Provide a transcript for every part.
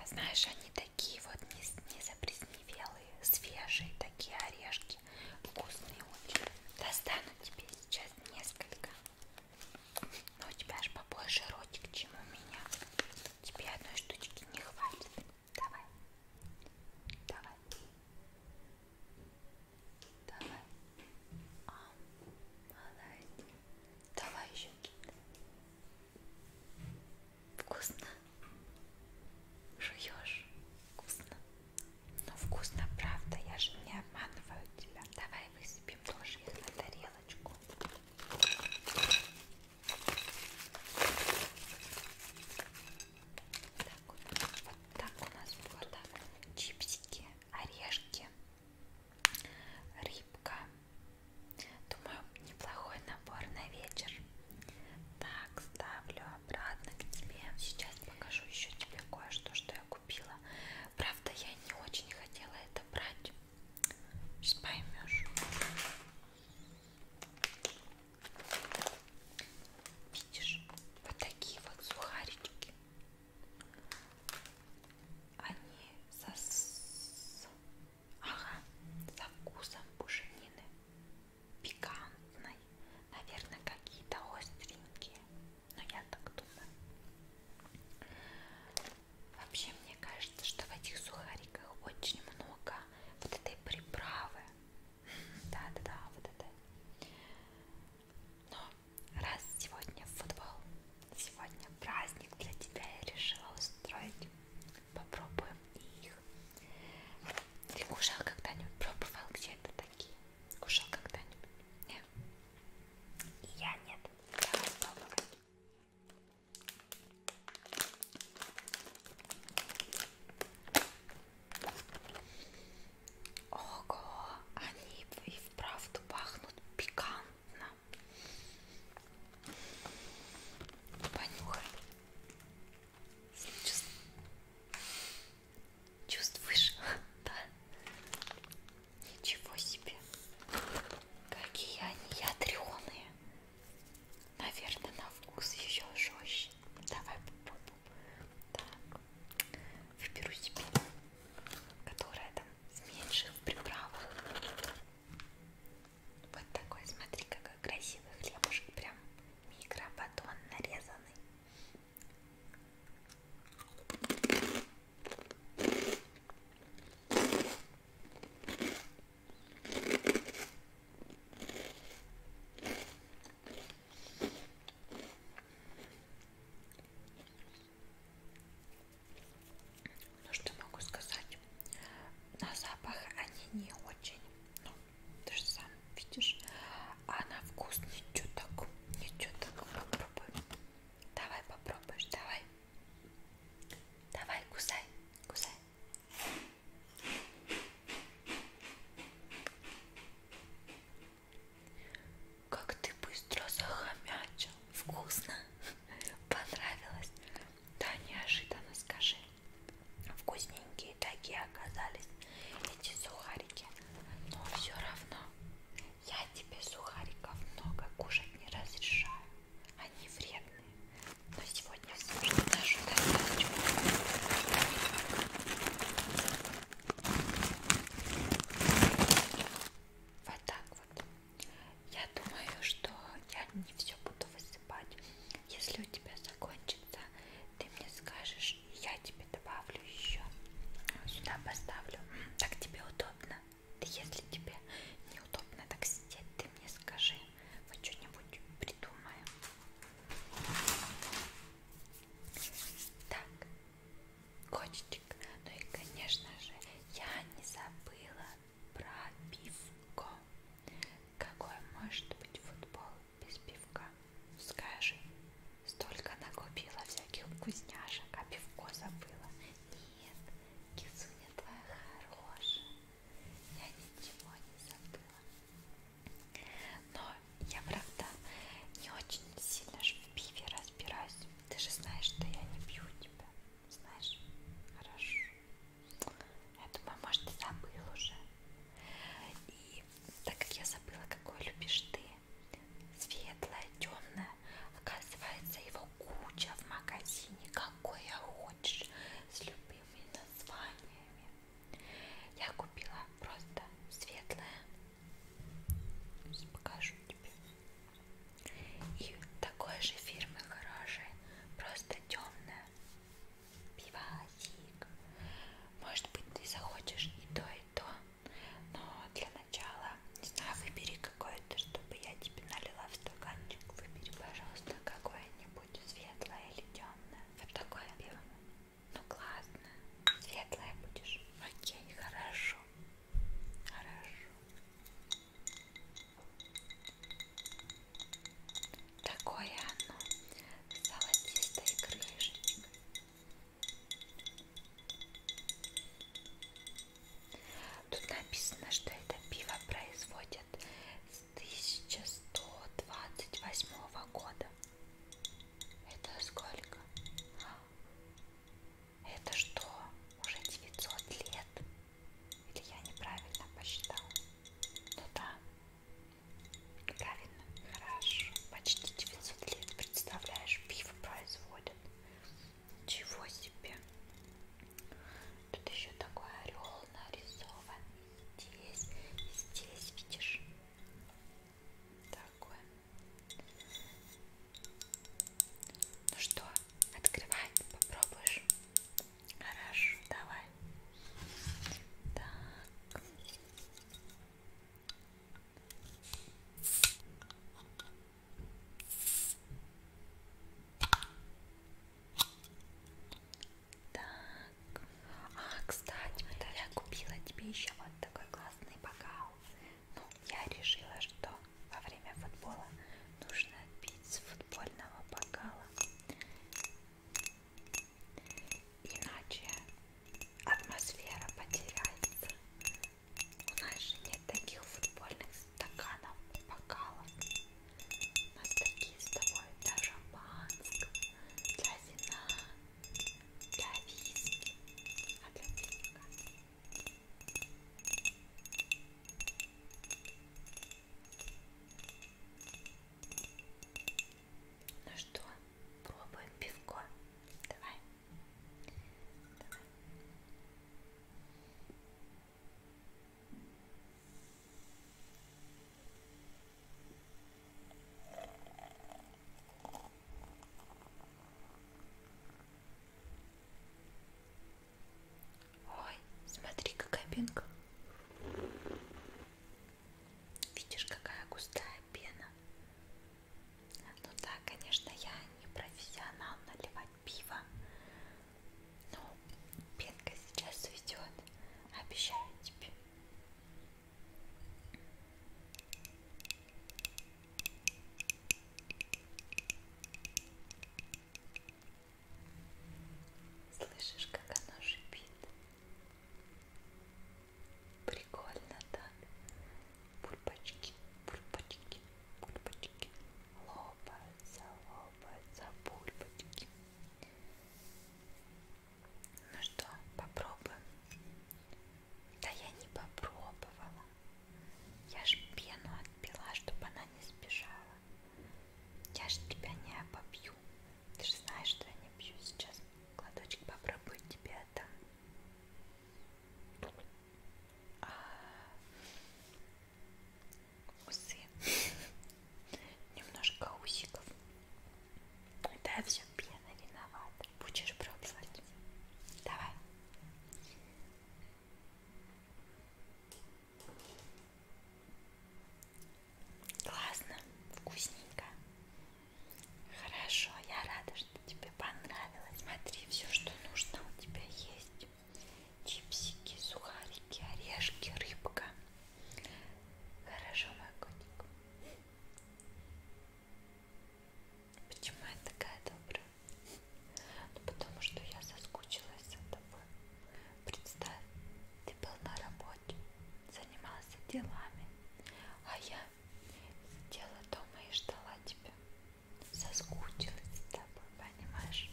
А знаешь, они такие вот незапресневелые, свежие такие орешки, вкусные очень. Достану тебе сейчас несколько. Но у тебя аж побольше ротик, чем у меня. Тебе одной штучки не хватит. Давай. Давай. Давай. О, а, молодец. Давай еще. Вкусно? Жуешь? Вкусно? Ну вкусно, правда, я же не обманываю тебя. Давай высыпем тоже их на тарелочку. Так, вот, вот так у нас было да? чипсики, орешки Рыбка. Думаю, неплохой набор на вечер. Так, ставлю обратно к тебе. Сейчас покажу еще тебе кое-что, что я купила. Правда, я не очень хотела это брать. Сейчас поймешь. Видишь, вот такие вот сухарички они со, с... ага, со вкусом пушенины, пикантной, наверное, какие-то остренькие, но я так думаю. Вообще, мне кажется, что в этих сухариках очень много вот этой приправы. Да-да-да, вот этой. Но раз сегодня в футбол Сегодня праздник для тебя я решила устроить. Попробуем их. Ты кушал когда-нибудь? Пробовал где-то такие? Кушал когда-нибудь? Нет? И я нет. Давай попробовать. Ого, они и вправду пахнут пикантно. Понюхай. Чувств... Чувствуешь? да? Ничего себе. Какие они ядреные. Наверное, на вкус еще жестче. Давай попробуем. Так. Выберу себе которая там с меньших приправах. Вот такой, смотри, какой красивый хлебушек, прям микробатон нарезанный. Ну что могу сказать? На запах они не очень. Ну, ты же сам видишь. А на вкус не чуток. Не чуток. Попробуй. Давай попробуешь. Давай. Давай, кусай. Кусай. Как ты быстро захомячил. Вкусно? Понравилось? Да, неожиданно скажи. Вкусненькие такие оказались эти сухарики. Но все равно я тебе сухариков много кушать не разрешаю. Они вредные. Но сегодня все же нашу достаточно. Вот так вот. Я думаю, что я не все буду высыпать. Если у тебя закончится, ты мне скажешь, и я тебе добавлю еще. Сюда поставлю. Так тебе удобно. Да если тебе неудобно так сидеть, ты мне скажи. Мы что-нибудь придумаем. Так, котичек. Ну и, конечно же, я не забыла про пивко. Какой может быть футбол без пивка? Скажи, столько накупила всяких вкусняшек, а пивко забыла. Нет, кисуня твоя хорошая. Я ничего не забыла. Но я, правда, не очень сильно ж в пиве разбираюсь. Ты же знаешь, что я не пью тебя. Знаешь? Хорошо. Я думаю, может, ты забыл уже. И так как я забыла, какой любишь ты, светлое, темное, оказывается, его куча в магазине, какое хочешь, с любыми названиями. Я купила просто светлое, Сейчас покажу тебе. И такой же фирмы хорошей, просто темная. Пивасик. Может быть, ты захочешь и то, и то. Но для начала, не знаю, выбери какое-то, чтобы я тебе налила в стаканчик. Выбери, пожалуйста, какое-нибудь светлое или темное. Вот такое пиво. Ну классно. Светлая будешь. Окей, хорошо. Хорошо. Такое оно. С золотистой крышечкой. Тут написано, что это пиво производят с 1128 года. Это сколько? Это что? Уже 900 лет? Или я неправильно посчитала? Ну да. Правильно. Хорошо. Почти 900 лет. Представляешь, пиво производят. Ничего себе. Тут еще такой орел нарисован. Здесь, здесь, видишь? Такое. Ну что, открывай, попробуешь? Хорошо, давай. Так. Так. Так. А, кстати, вот я купила тебе еще вот такой классный бокал. Ну, я решила, что во время футбола нужно пить с футбольного бокала. Иначе атмосфера потеряется. У нас же нет таких футбольных стаканов, бокалов. У нас такие с тобой для шампанского, для вина, для виски, а для пинка. Ну что, пробуем пивко? Давай. Давай. Ой, смотри, какая пенка. Видишь, какая густая пена. Ну да, конечно, я не профессионал наливать пиво. Но пенка сейчас уйдет. Обещаю тебе. Слышишь, как оно шипит? Прикольно так. Пульпочки, пульпочки, пульпочки. Лопаются, лопаются пульпочки. Ну что, попробуем? Да я не попробовала. Я ж пену отпила, чтобы она не сбежала. Я ж тебя не попью. Ты же знаешь, что я не пью сейчас. Кладочек попробую тебе это. А... Усы немножко усиков. Да, все пена виновата. Будешь пробовать. Давай. Классно, вкусненько. Хорошо, я рада, что тебе понравилось. Смотри, все, что нужно у тебя есть. Чипсики, сухарики, орешки, рыбка. Хорошо, мой котик. Почему я такая добрая? Ну, потому что я соскучилась за тобой. Представь, ты был на работе, занимался делами, а я сидела дома и ждала тебя. Соскучилась с тобой, понимаешь?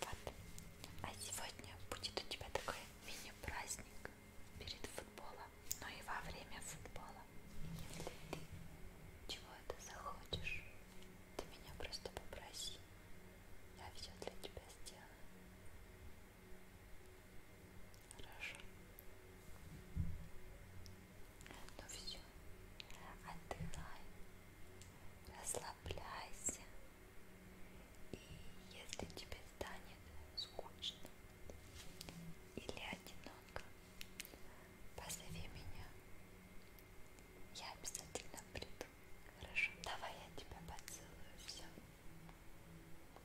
Вот, а сегодня будет у тебя такой мини-праздник перед футболом, но ну и во время футбола. Если ты чего это захочешь, ты меня просто попроси. Я все для тебя сделаю. Хорошо. Ну все. Отдыхай. Расслабляйся. И если тебе станет скучно или одиноко, позови меня. Я обязательно приду. Хорошо, давай я тебя поцелую. Все.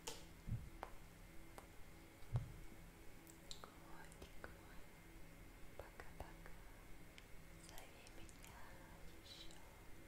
Котик мой, пока-пока. Зови меня еще.